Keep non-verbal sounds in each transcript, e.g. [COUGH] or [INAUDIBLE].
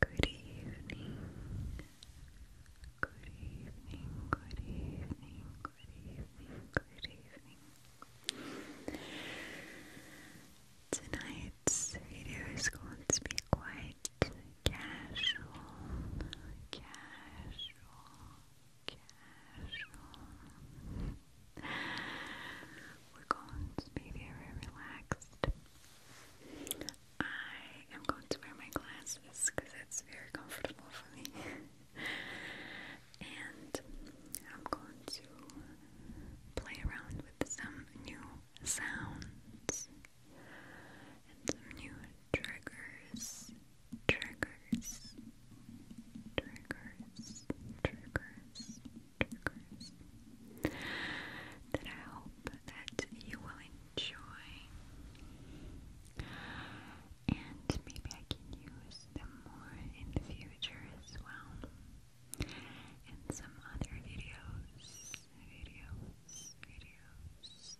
Good evening. Good evening. Good evening. Good evening. Good evening. Tonight's video is going to be quite casual. Casual. Casual. We're going to be very relaxed. I am going to wear my glasses because it's very comfortable for me. and I'm going to play around with some new sounds and new triggers. Triggers. Triggers. Triggers triggers that I hope that you will enjoy and maybe I can use them more in the future as well in some other videos, videos, videos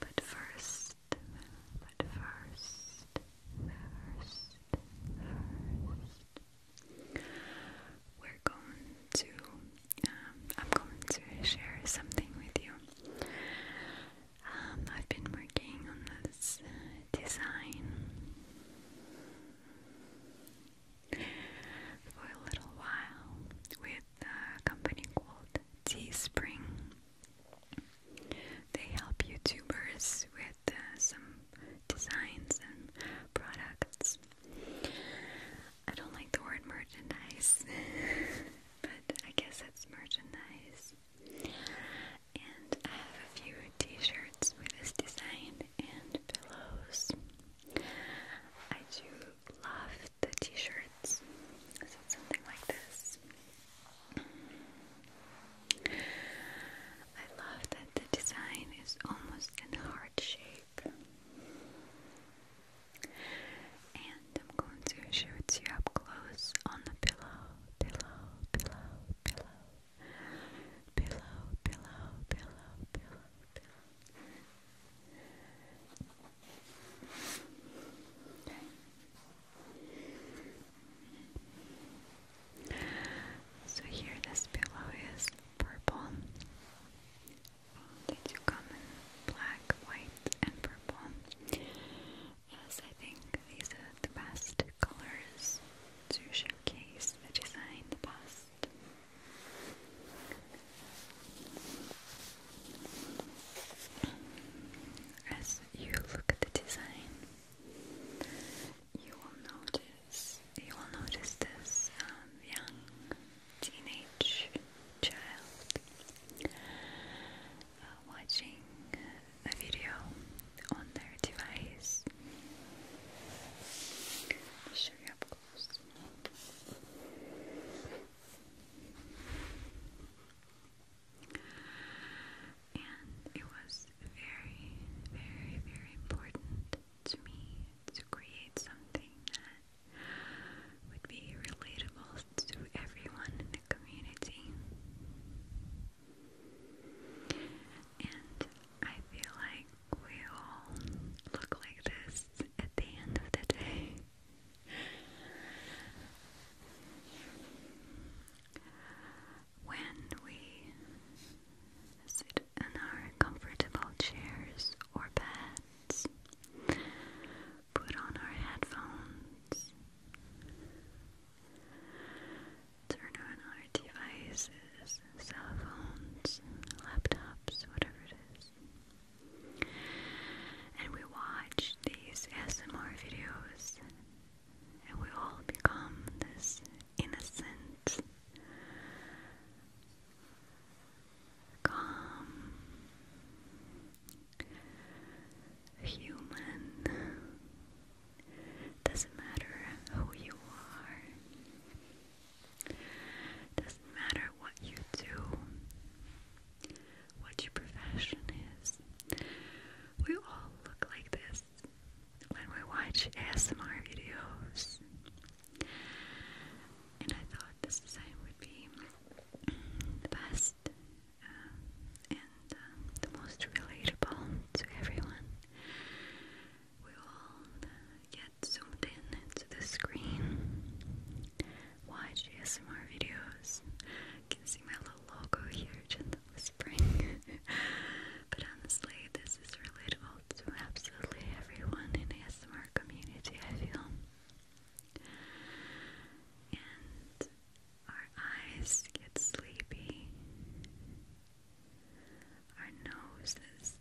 but first, but first, first, first we're going to, um, I'm going to share something with you. Um, I've been working on this uh, design for a little while with a company called Teespring. They help YouTubers with uh, some designs and products. I don't like the word merchandise, [LAUGHS] but I guess it's merchandise. And I have a few t-shirts with this design and pillows. I do love the t-shirts, something like this. I love that the design is almost in heart shape. And I'm going to show it to you up close on the pillow, pillow, pillow, pillow. Pillow, pillow, pillow, pillow, pillow. So here this pillow is purple. They do come black, white, and purple. Yes, I think these are the best colors to showcase the design the best. As you look at the design, you will notice you will notice this um, young teenage child uh, watching a video on their device. I'll show you close and it was very, very, very important to me to create something that would be relatable to everyone in the community. And I feel like we all look like this at the end of the day. When we sit in our comfortable chairs or beds, put on our headphones, turn on our devices, cell phones, laptops, whatever it is, and we watch these ASMR videos. And we all become this innocent, calm, human. Doesn't matter who you are, doesn't matter what you do, what your profession is. We all look like this when we watch ASMR videos. And I thought this design would be the best um, and um, the most relatable to everyone. We all uh, get zoomed in into the screen, watch ASMR videos. can see my little logo here, gentle spring. [LAUGHS] but honestly, this is relatable to absolutely everyone in ASMR community, I feel. And our eyes get sleepy. Our noses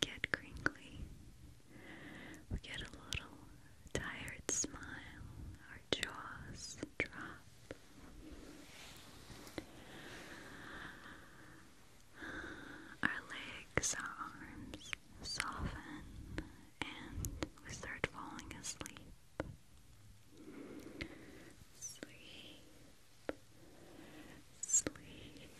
get crinkly. We get a little tired smile our jaws drop. Our legs, our arms soften, and we start falling asleep. Sleep, sleep.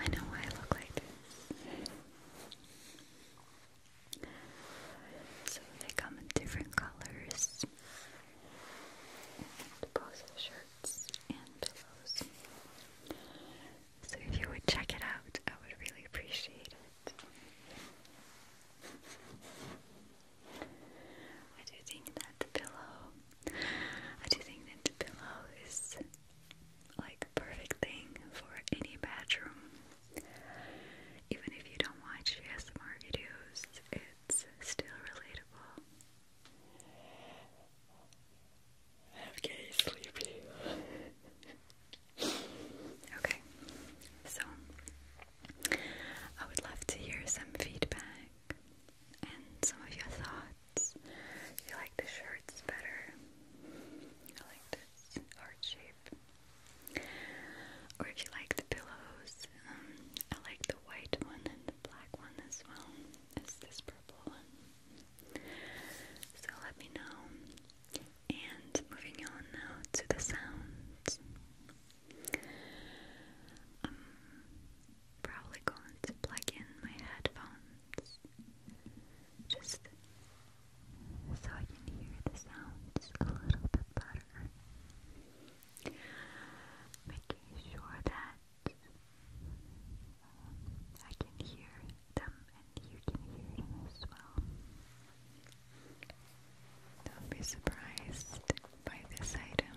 I know I look like this. So they come in different colors and both shirts and pillows. So if you would check it out, I would really appreciate it. I do think that the pillow I do think that the pillow is like perfect thing for any bedroom. Even if you don't watch ASMR videos, it's still relatable. i sleepy. okay, so I would love to hear some feedback and some of your thoughts shirts. You like the shirts better. I like this heart shape. Or if you like the pillows, um, I like the white one and the black one as well as this purple one. So let me know. And moving on now to the sounds. I'm probably going to plug in my headphones just so I can hear the sounds a little bit better. Making sure that um, I can hear them and you can hear them as well. Don't be surprised by this item.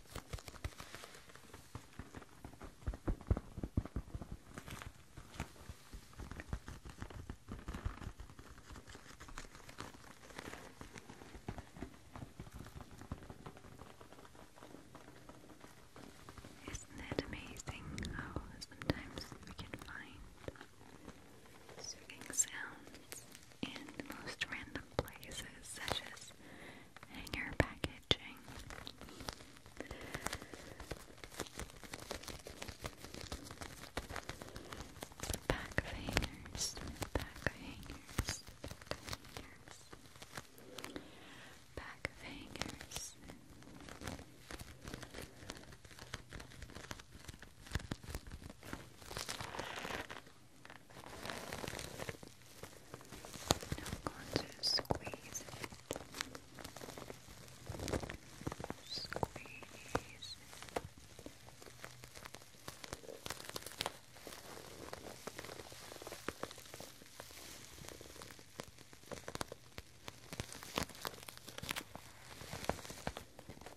Isn't it amazing how sometimes we can find soothing sounds in most random places, such as hanger packaging. Back of hangers, back of hangers, hangers, back of hangers. I'm going to squeeze it. Squeeze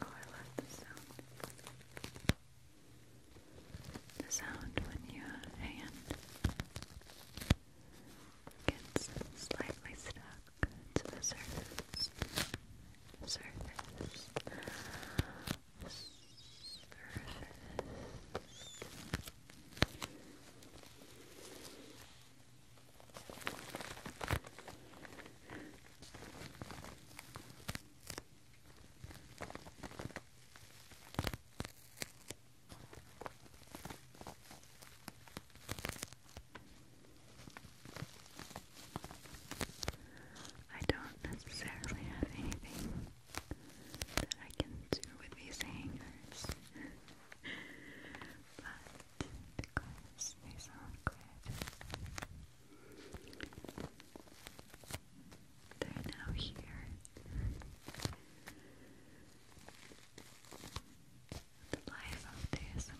Oh, I love the sound. The sound when your hand gets slightly stuck to the surface. Surface. Surface. I don't necessarily have anything that I can do with these hangers but because they sound good, they're now here. The life of the ASM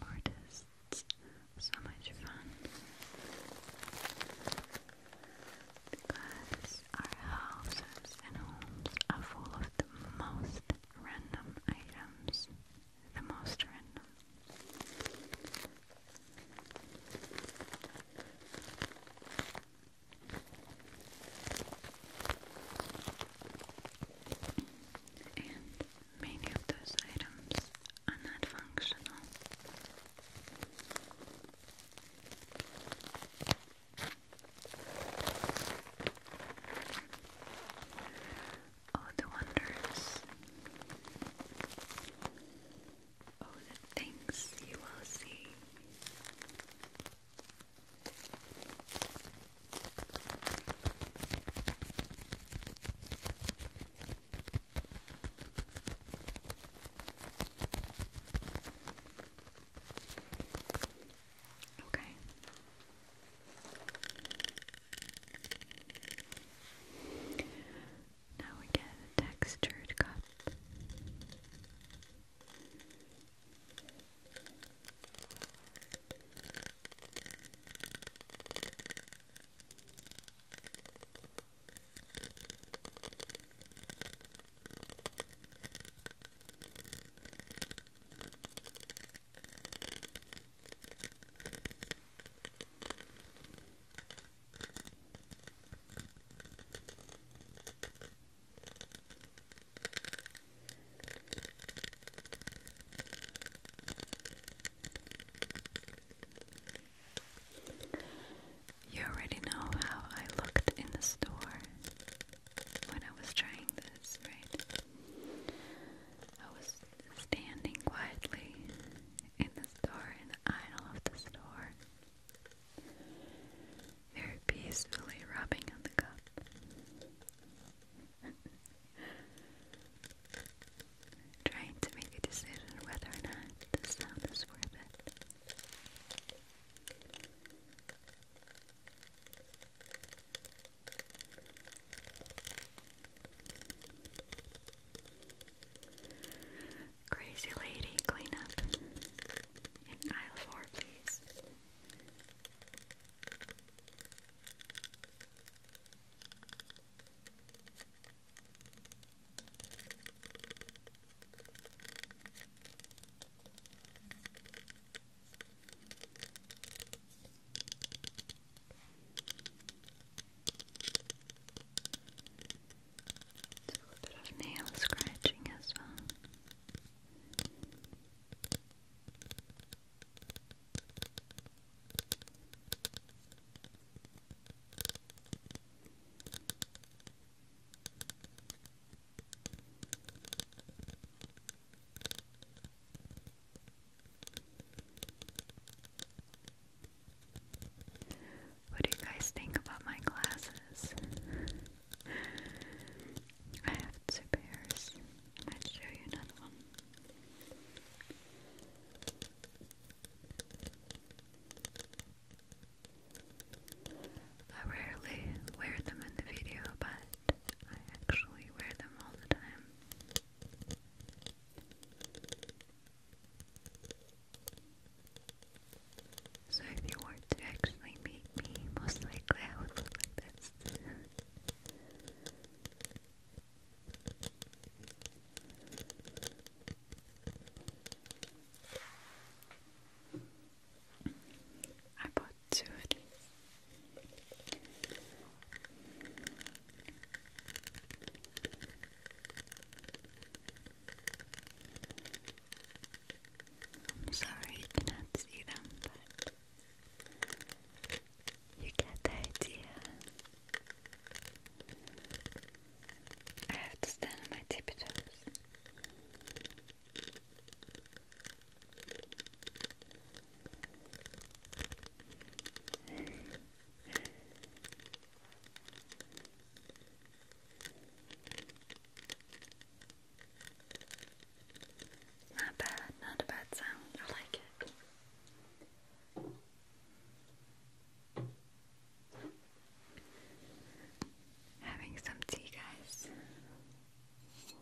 so much fun because our houses and homes are full of the most random items. The most random. And many of those items are not functional. Oh, the wonders. Oh, the things you will see. Okay. Now we get a textured cup. You already know how I looked in the store when I was trying this, right? I was standing quietly in the store, in the aisle of the store, very peacefully rubbing on the cup. [LAUGHS] Trying to make a decision whether or not the sound is worth it. Crazy lady, clean up in aisle four, please. There's a little bit of nail scratching as well. What do you guys think about my glasses? I have two pairs. I might show you another one. I rarely wear them in the video, but I actually wear them all the time. So if you were to actually meet me, most likely I would look like this. I bought two of these. I'm sorry you cannot see them, but you get the idea. I have to stand on my tippy toes. Not bad, not a bad sound. I like it. Having some tea, guys. So,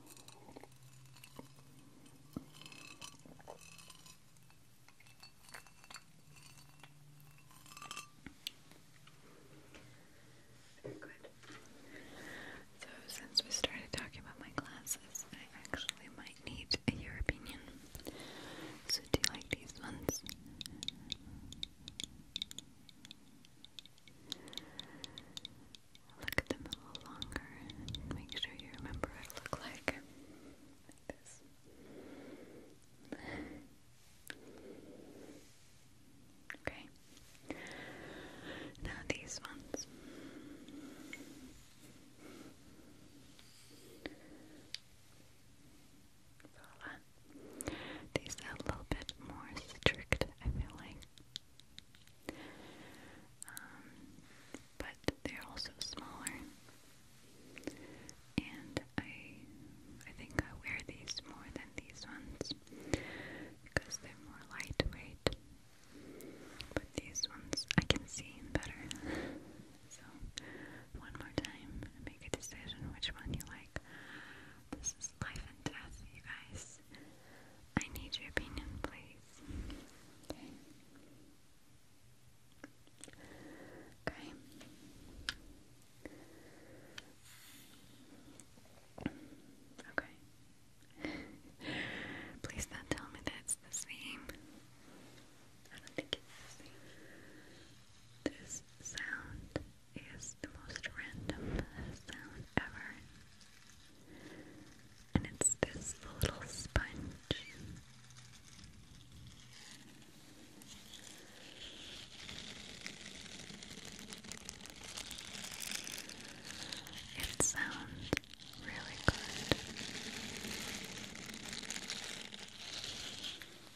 since we started talking about my glasses, I actually might need your opinion. So, do you like these ones? Look at them a little longer make sure you remember what it looked like. okay. Now these ones. These are a little bit more strict, I feel like. Um, but they're also smaller. And I I think I wear these more than these ones because they're more lightweight. But these ones I can see better. [LAUGHS] so one more time, make a decision which one you like. This is life and death, you guys. I need your opinion, please. Okay. Okay. [LAUGHS] please don't tell me that's the same. I don't think it's the same. This sound is the most random sound ever. And it's this little sponge. It sounds really good.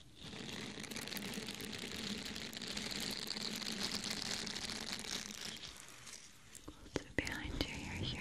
Close it behind your ear here.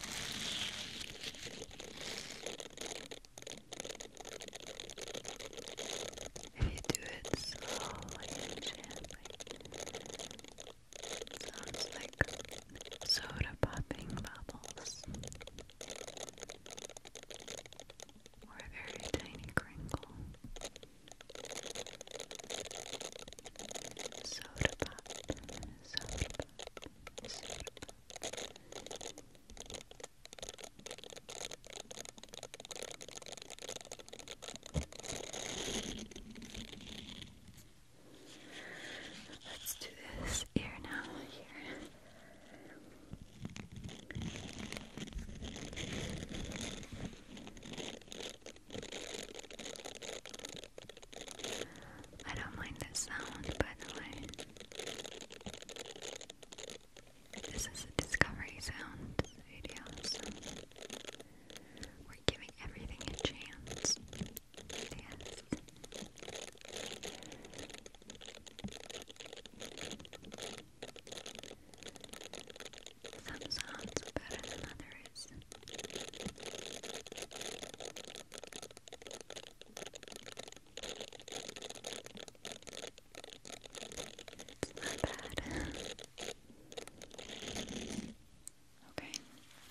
If you do it slowly and gently, it sounds like soda popping bubbles or a very tiny crinkle. Soda pop sarpa, sarpa. Let's do this ear now. Here. I don't mind the sound, by This is a discovery sound video, we're giving everything a chance. Some sounds better than others. Not bad. okay,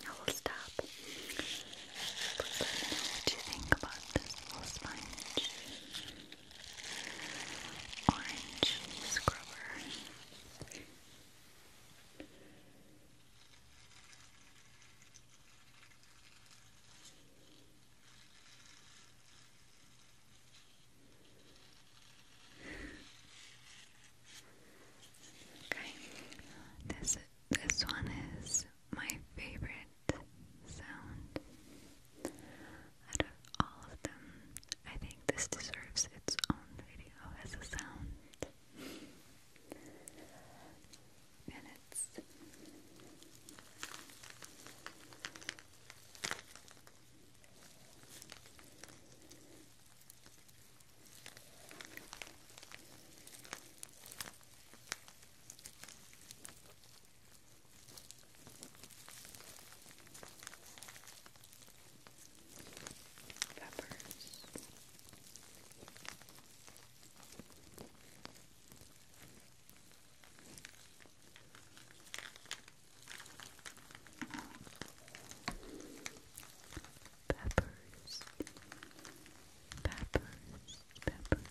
I will stop. But let you think about this little Orange scrubber. Okay, this this one is my favorite sound out of all of them. I think this deserves its own video as a sound and it's peppers. Peppers, peppers, peppers.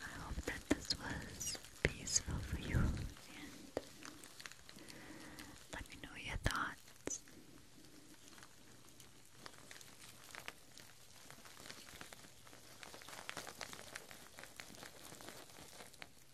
I hope that this was peaceful for you and let me know your thoughts.